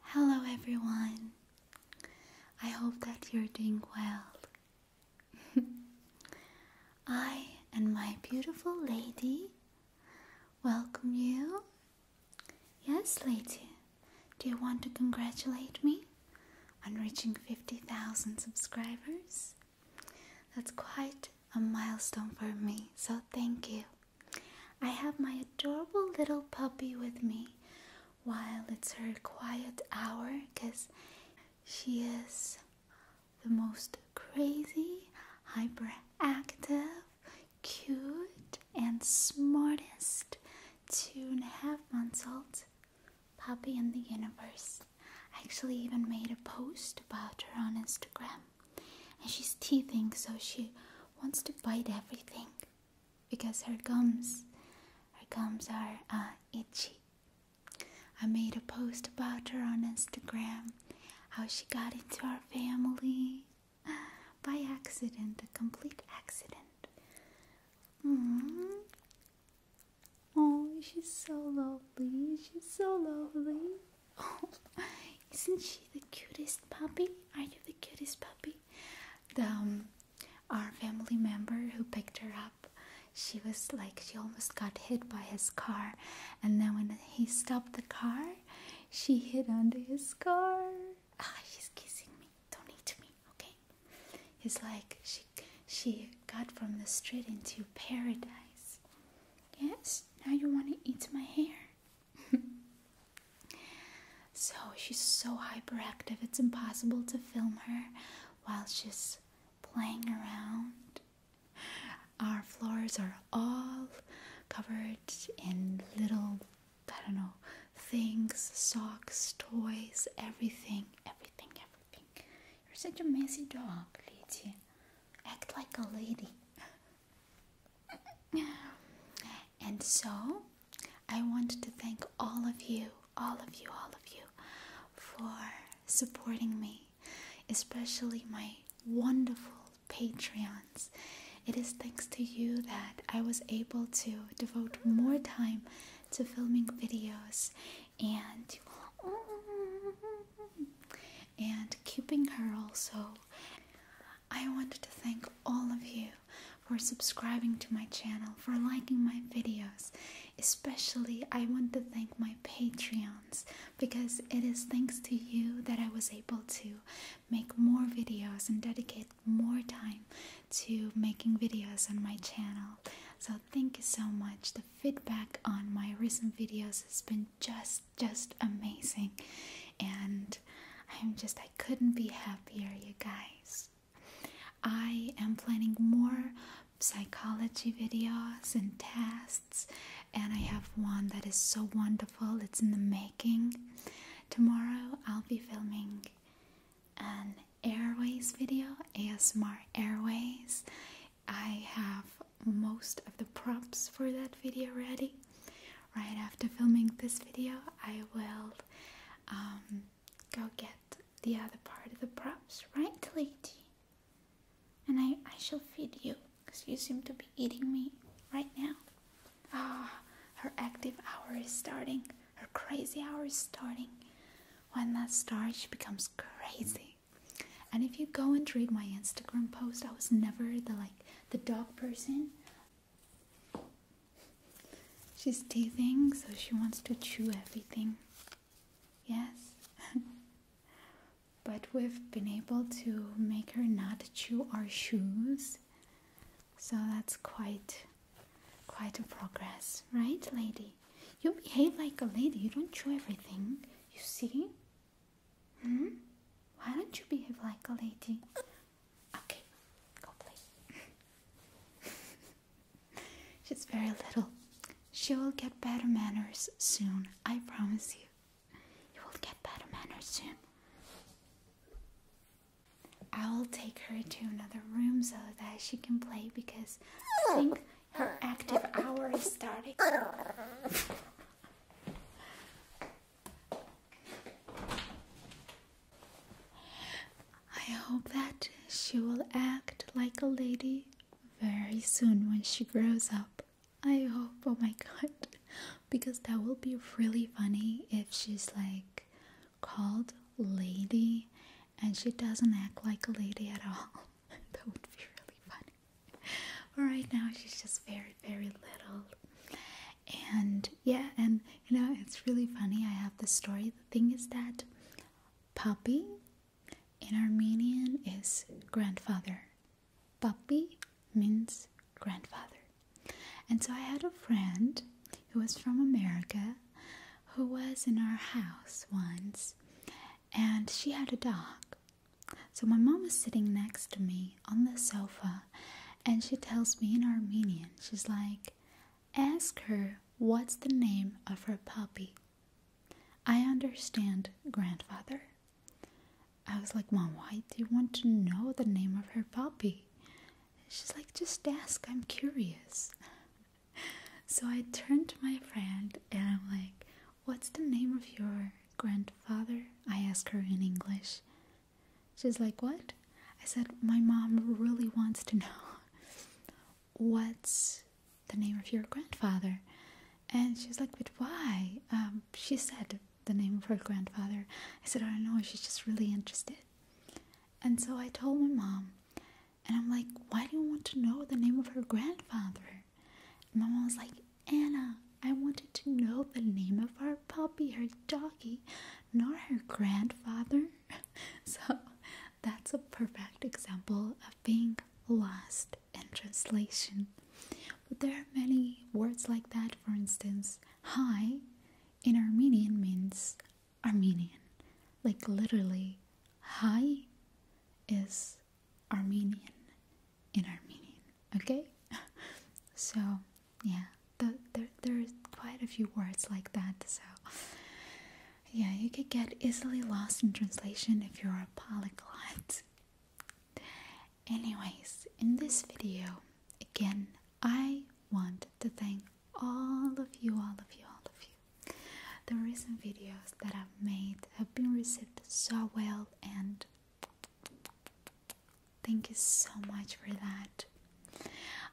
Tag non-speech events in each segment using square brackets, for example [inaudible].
Hello everyone. I hope that you're doing well. [laughs] I and my beautiful lady welcome you. Yes, lady. Do you want to congratulate me on reaching 50,000 subscribers? That's quite a milestone for me. So thank you. I have my adorable little puppy with me while it's her quiet hour because she is the most crazy, hyperactive, cute, and smartest two and a half months old puppy in the universe. I actually even made a post about her on Instagram. And she's teething, so she wants to bite everything because her gums, her gums are uh, itchy. I made a post about her on Instagram, how she got into our family [laughs] by accident, a complete accident. Mm-hmm. Oh, she's so lovely. She's so lovely. [laughs] Oh, isn't she the cutest puppy? Are you the cutest puppy? The, um, our family member who picked her up, she was like, she almost got hit by his car. And then when he stopped the car, she hid under his car. Ah, she's kissing me. Don't eat me, okay? It's like she she got from the street into paradise. Yes, now you want to eat my hair. [laughs] so she's so hyperactive, it's impossible to film her while she's playing around. Our floors are all covered in little, I don't know, things, socks, toys, everything, everything, everything. You're such a messy dog, Lady. Act like a lady. [laughs] And so, I want to thank all of you, all of you, all of you, for supporting me, especially my wonderful Patreons. It is thanks to you that I was able to devote more time to filming videos and and keeping her also I wanted to thank all of you for subscribing to my channel, for liking my videos. Especially, I want to thank my Patreons because it is thanks to you that I was able to make more videos and dedicate more time to making videos on my channel. So, thank you so much. The feedback on my recent videos has been just, just amazing. And I'm just, I couldn't be happier, you guys. I am planning more psychology videos and tests, and I have one that is so wonderful, it's in the making. Tomorrow, I'll be filming an airways video, ASMR Airways. I have most of the props for that video ready right after filming this video, I will um, go get the other part of the props, right, lady? And I, I shall feed you because you seem to be eating me right now. Ah, oh, her active hour is starting, her crazy hour is starting. When that starts, she becomes crazy. And if you go and read my Instagram post, I was never the like the dog person. She's teething, so she wants to chew everything. Yes? [laughs] but we've been able to make her not chew our shoes. So that's quite quite a progress, right, lady? You behave like a lady. You don't chew everything. You see? Hmm? Why don't you behave like a lady? Okay, go play. [laughs] She's very little. She will get better manners soon, I promise you. You will get better manners soon. I will take her to another room so that she can play because I oh, think her active hour is starting. [laughs] [laughs] I hope that she will act like a lady very soon when she grows up. I hope, oh my god, [laughs] because that will be really funny if she's like called lady and she doesn't act like a lady at all. [laughs] that would be really funny. But right now, she's just very, very little and yeah and you know it's really funny i have the story the thing is that puppy, in armenian is grandfather Puppy means grandfather and so i had a friend who was from america who was in our house once and she had a dog so my mom was sitting next to me on the sofa and she tells me in Armenian, she's like, Ask her what's the name of her puppy. I understand, grandfather. I was like, Mom, why do you want to know the name of her puppy? She's like, Just ask, I'm curious. so I turn to my friend and I'm like, What's the name of your grandfather? I ask her in English. She's like, What? I said, My mom really wants to know [laughs] what's the name of your grandfather. And she's like, But why? Um, she said the name of her grandfather. I said, I don't know, she's just really interested. And so I told my mom, and I'm like, Why do you want to know the name of her grandfather? And my mom was like, Anna, I wanted to know the name of our puppy, her doggy, not her grandfather. [laughs] So that's a perfect example of being lost in translation. But there are many words like that. For instance, hi in Armenian means Armenian. Like literally, hi is Armenian in Armenian. Okay? [laughs] So yeah there there's quite a few words like that so yeah you could get easily lost in translation if you're a polyglot anyways in this video again i want to thank all of you all of you all of you the recent videos that i've made have been received so well and Thank you so much for that.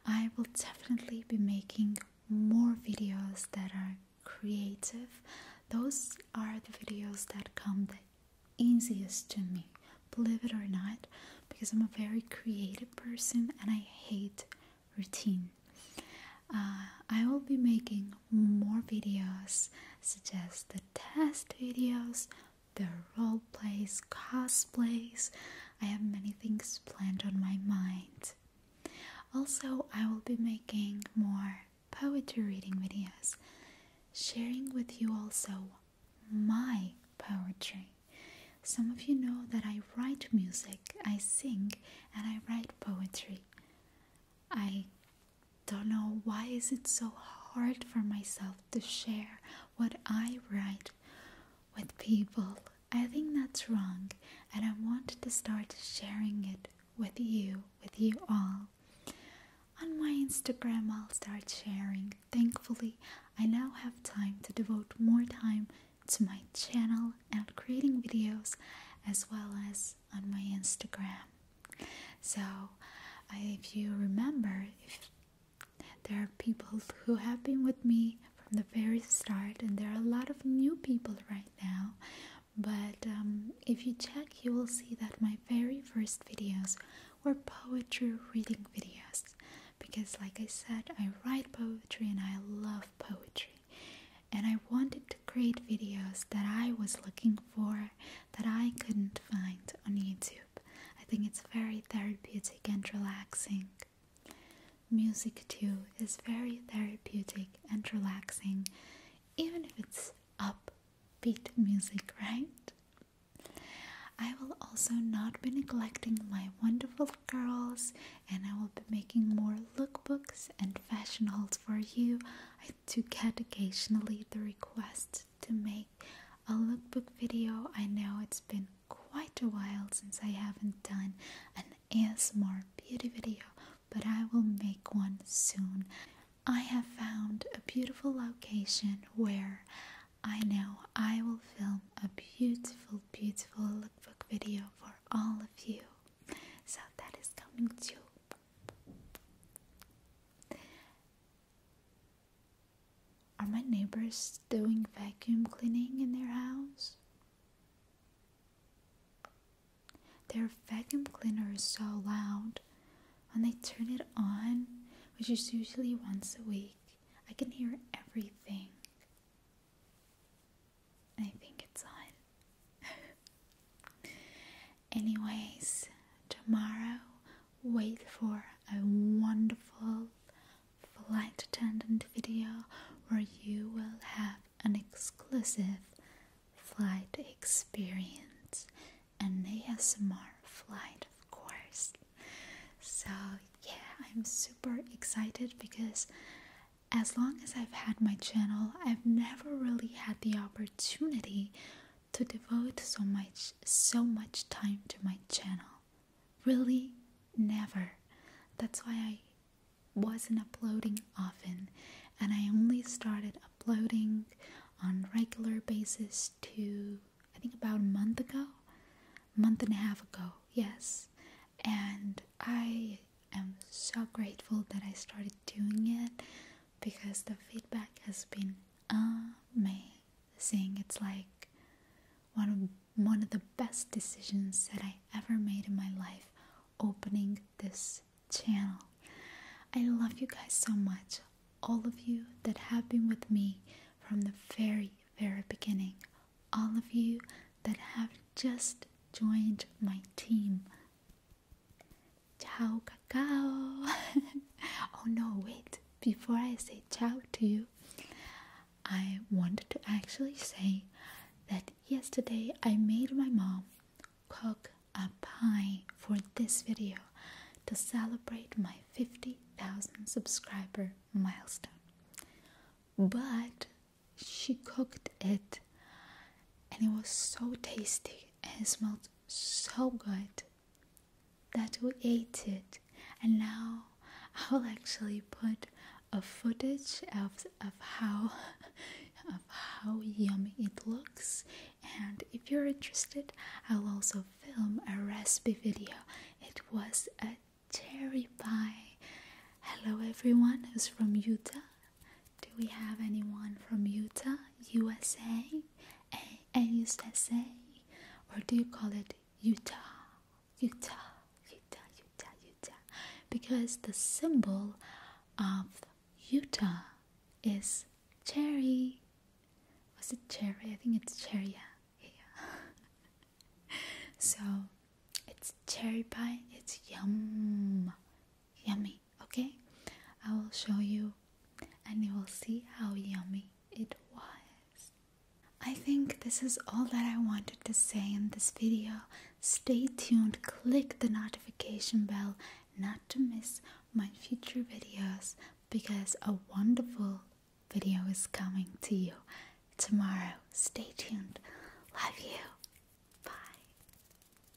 I will definitely be making more videos that are creative. Those are the videos that come the easiest to me, believe it or not, because I'm a very creative person and I hate routine. Uh, I will be making more videos, such as the test videos, the role plays, cosplays. I have many things planned on my mind. Also, I will be making more poetry reading videos, sharing with you also my poetry. Some of you know that I write music, I sing, and I write poetry. I don't know why is it so hard for myself to share what I write with people. I think that's wrong, and I want to start sharing it with you, with you all. On my Instagram, I'll start sharing. Thankfully, I now have time to devote more time to my channel and creating videos as well as on my Instagram. So, if you remember, if there are people who have been with me from the very start, and there are a lot of new people right now. But um, if you check, you will see that my very first videos were poetry reading videos because, like I said, I write poetry and I love poetry. And I wanted to create videos that I was looking for that I couldn't find on YouTube. I think it's very therapeutic and relaxing. Music, too, is very therapeutic and relaxing, even if it's upbeat music, [laughs] right? I will also not be neglecting my wonderful girls, and I will be making more lookbooks and fashion hauls for you. I do get occasionally the requests to make a lookbook video. I know it's been quite a while since I haven't done an ASMR beauty video, but I will make one soon. I have found a beautiful location where I know I will film a beautiful, beautiful lookbook video for all of you. So that is coming too. Are my neighbors doing vacuum cleaning in their house? Their vacuum cleaner is so loud. When they turn it on, which is usually once a week, I can hear everything. I think it's on. [laughs] Anyways, tomorrow wait for a wonderful flight attendant video where you will have an exclusive flight experience an ASMR flight of course so yeah I'm super excited because as long as I've had my channel I've never really had the opportunity to devote so much so much time to my channel. Really never. That's why I wasn't uploading often and I only started uploading on regular basis to I think about a month ago, month and a half ago. Yes. And I am so grateful that I started doing it because the feedback has been amazing saying it's like one of, one of the best decisions that I ever made in my life opening this channel. I love you guys so much, all of you that have been with me from the very, very beginning, all of you that have just joined my team. Ciao, cacao! [laughs] oh no, wait before I say ciao to you, I wanted to actually say that yesterday I made my mom cook a pie for this video to celebrate my 50,000 subscriber milestone. But she cooked it and it was so tasty and it smelled so good that we ate it and now I will actually put a footage of of how [laughs] of how yummy it looks and if you're interested I'll also film a recipe video it was a cherry pie hello everyone who's from Utah do we have anyone from Utah USA a USA or do you call it Utah? Utah, Utah, Utah, Utah. Because the symbol of Utah is cherry. Was it cherry? I think it's cherry. [laughs] so it's cherry pie. It's yum, yummy. Okay, I will show you, and you will see how yummy it was. I think this is all that I wanted to say in this video. Stay tuned, click the notification bell not to miss my future videos because a wonderful video is coming to you tomorrow. Stay tuned. Love you. Bye.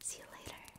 See you later.